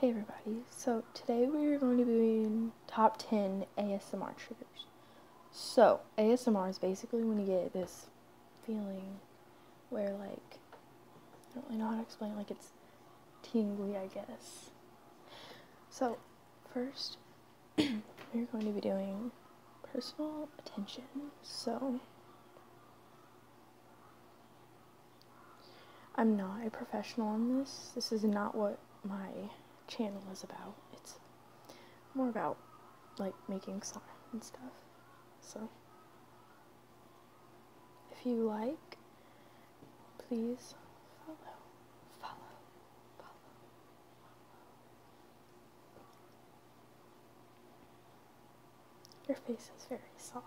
Hey everybody, so today we're going to be doing top 10 ASMR triggers. So, ASMR is basically when you get this feeling where like, I don't really know how to explain it, like it's tingly I guess. So, first, we're going to be doing personal attention, so... I'm not a professional on this. This is not what my channel is about. It's more about like making song and stuff. So if you like, please follow, follow, follow. Your face is very soft.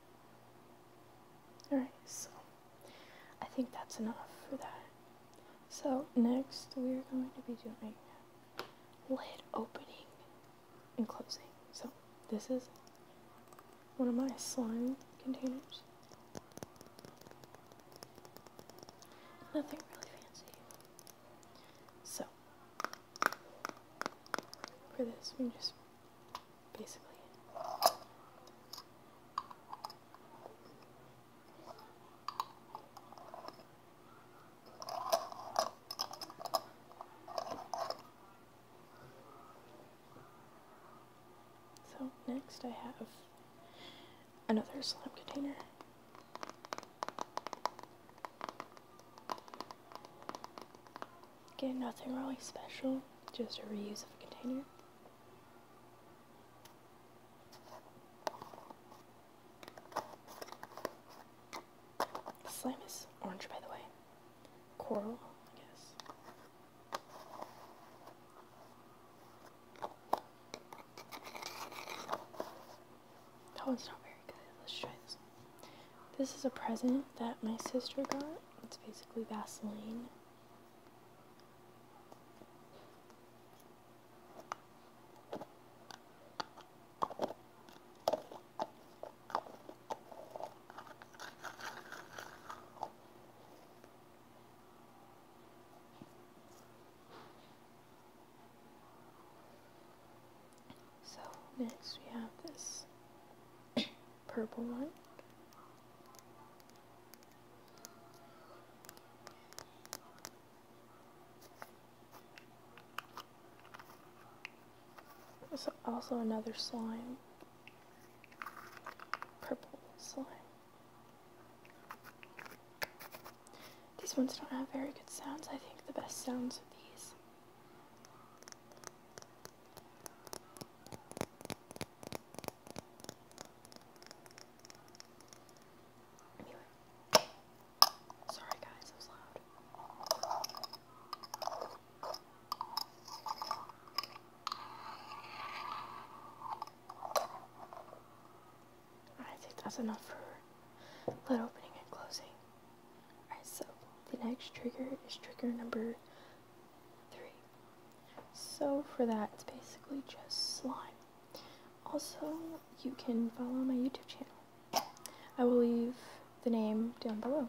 Alright, so I think that's enough for that. So, next we're going to be doing lid opening and closing. So, this is one of my slime containers. Nothing really fancy. So, for this, we just basically. So next I have another slime container. Again, nothing really special, just a reuse of a container. Slime is orange, by the way. Coral, I guess. That one's not very good. Let's try this This is a present that my sister got. It's basically Vaseline so next we have this purple one. There's also another slime. Purple slime. These ones don't have very good sounds. I think the best sounds of these Anyway. Sorry guys, it was loud. I think that's enough for lid opening and closing. Alright, so the next trigger is trigger number three. So for that, it's basically just slime. Also, you can follow my YouTube channel. I will leave the name down below.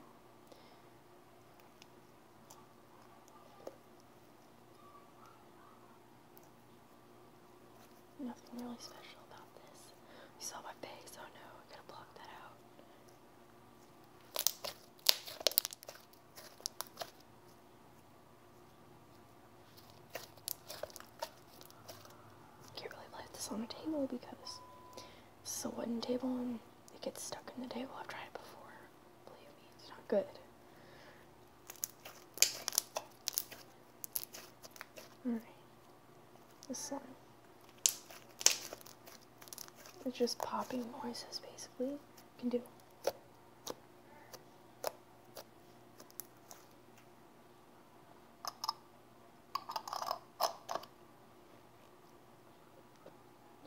Nothing really special about this. You saw my face, oh no, I gotta block that out. Can't really play this on the table because this is a wooden table and it gets stuck in the table. I've tried it before. Believe me, it's not good. Alright. This one. It's just popping noises basically. can do.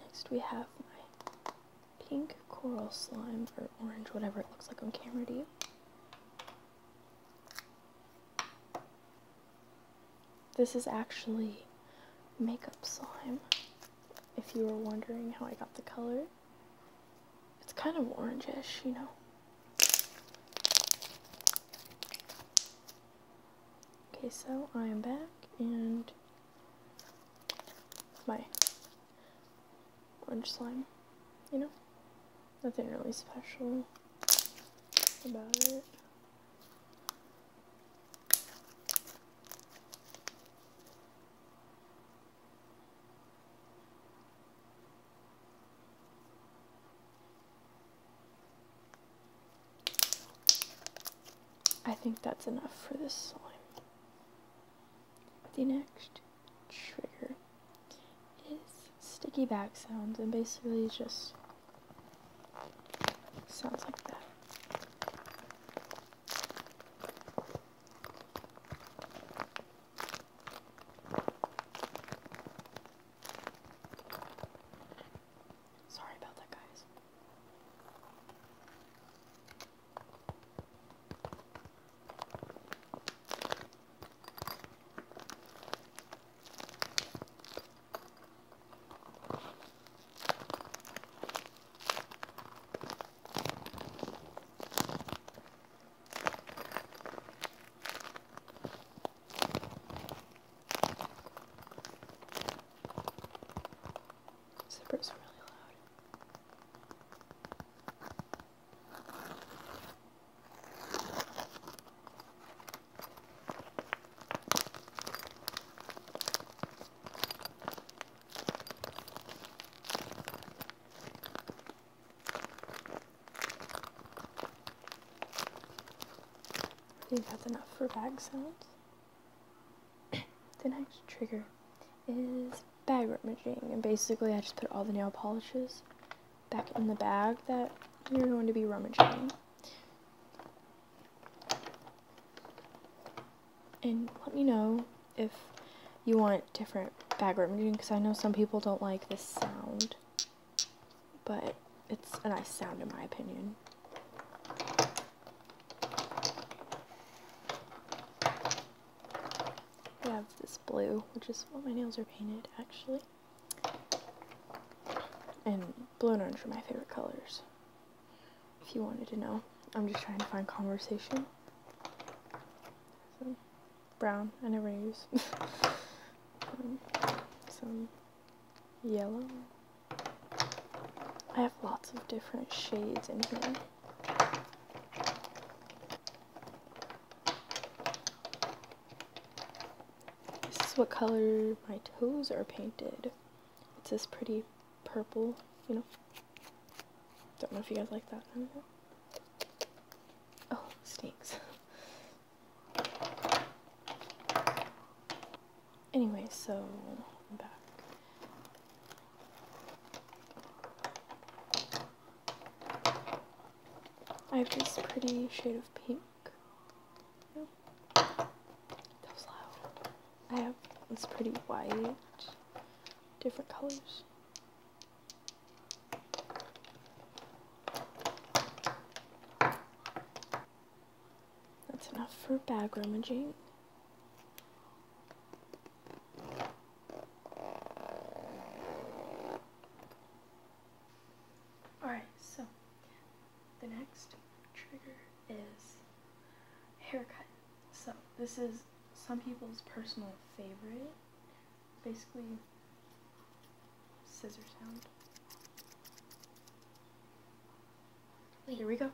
Next we have my pink coral slime or orange, whatever it looks like on camera to you. This is actually makeup slime. If you were wondering how I got the color, it's kind of orange-ish, you know. Okay, so I am back and my orange slime, you know. Nothing really special about it. I think that's enough for this slime. The next trigger is sticky back sounds, and basically just Sounds like that. Sorry about that, guys. Zipper's really loud. I think that's enough for bag sounds. the next trigger is bag rummaging, and basically I just put all the nail polishes back in the bag that you're going to be rummaging. And let me know if you want different background music because I know some people don't like this sound. But it's a nice sound in my opinion. I have this blue, which is what my nails are painted actually. And blue and orange are my favorite colors. If you wanted to know, I'm just trying to find conversation. So, brown, and never use. Um, some yellow. I have lots of different shades in here. This is what color my toes are painted. It's this pretty purple, you know. Don't know if you guys like that. Oh, snakes. Anyway, so i have this pretty shade of pink. That was loud. I have it's pretty white. Different colors. That's enough for bag rummaging. Alright, so the next trigger is haircut. So this is some people's personal favorite. Basically, scissor sound. Here we go.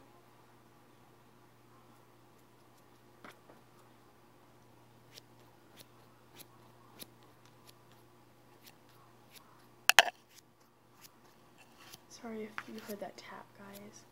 Sorry if you heard that tap, guys.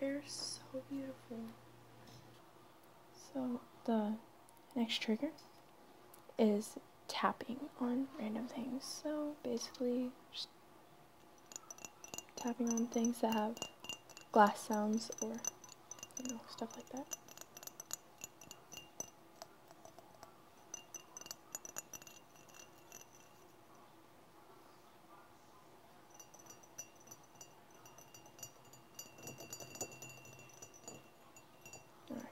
Her is so beautiful. So the next trigger is tapping on random things. So basically just tapping on things that have glass sounds or stuff like that. Alright,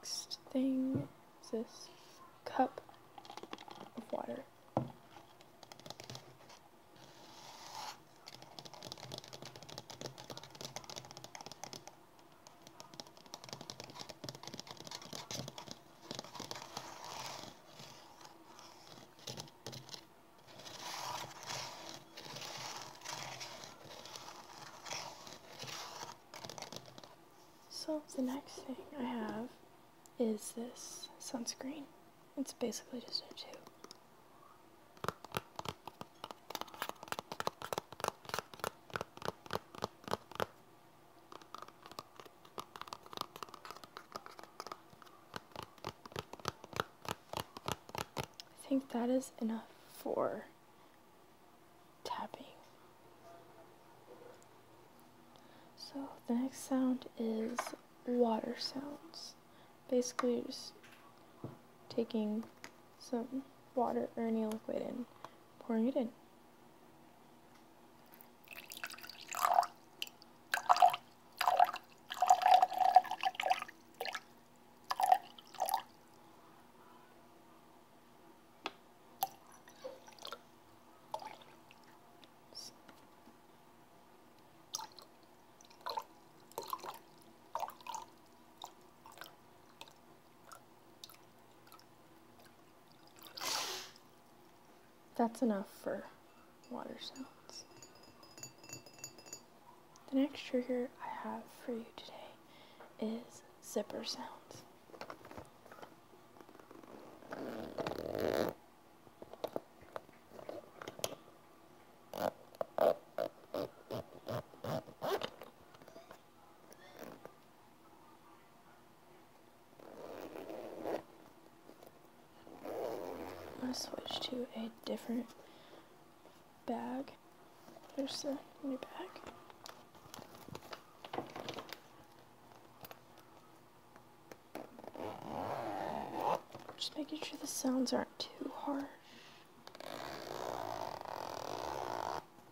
next thing is this cup of water. So the next thing I have is this sunscreen. It's basically just a tube. I think that is enough for tapping. So the next sound is water sounds. Basically, just taking some water or any liquid and pouring it in. That's enough for water sounds. The next trigger I have for you today is zipper sounds. I'm switch to a different bag. There's the new bag. Just making sure the sounds aren't too harsh.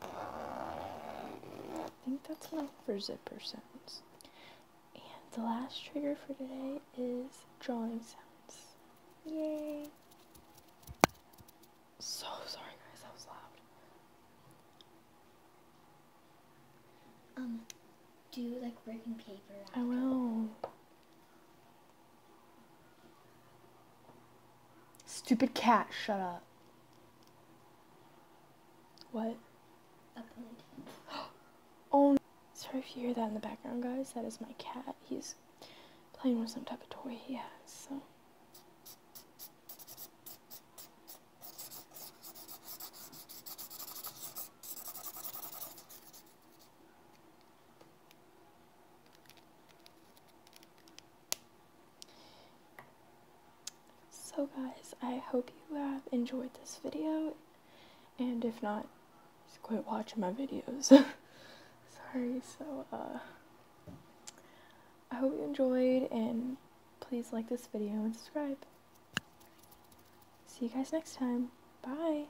I think that's enough for zipper sounds. And the last trigger for today is drawing sounds. Yay! So sorry guys, that was loud. Um, do like breaking paper. I will. Stupid cat, shut up. What? Oh, sorry if you hear that in the background, guys. That is my cat. He's playing with some type of toy he has, so guys, I hope you have enjoyed this video, and if not, just quit watching my videos. Sorry, so, uh, I hope you enjoyed, and please like this video and subscribe. See you guys next time. Bye!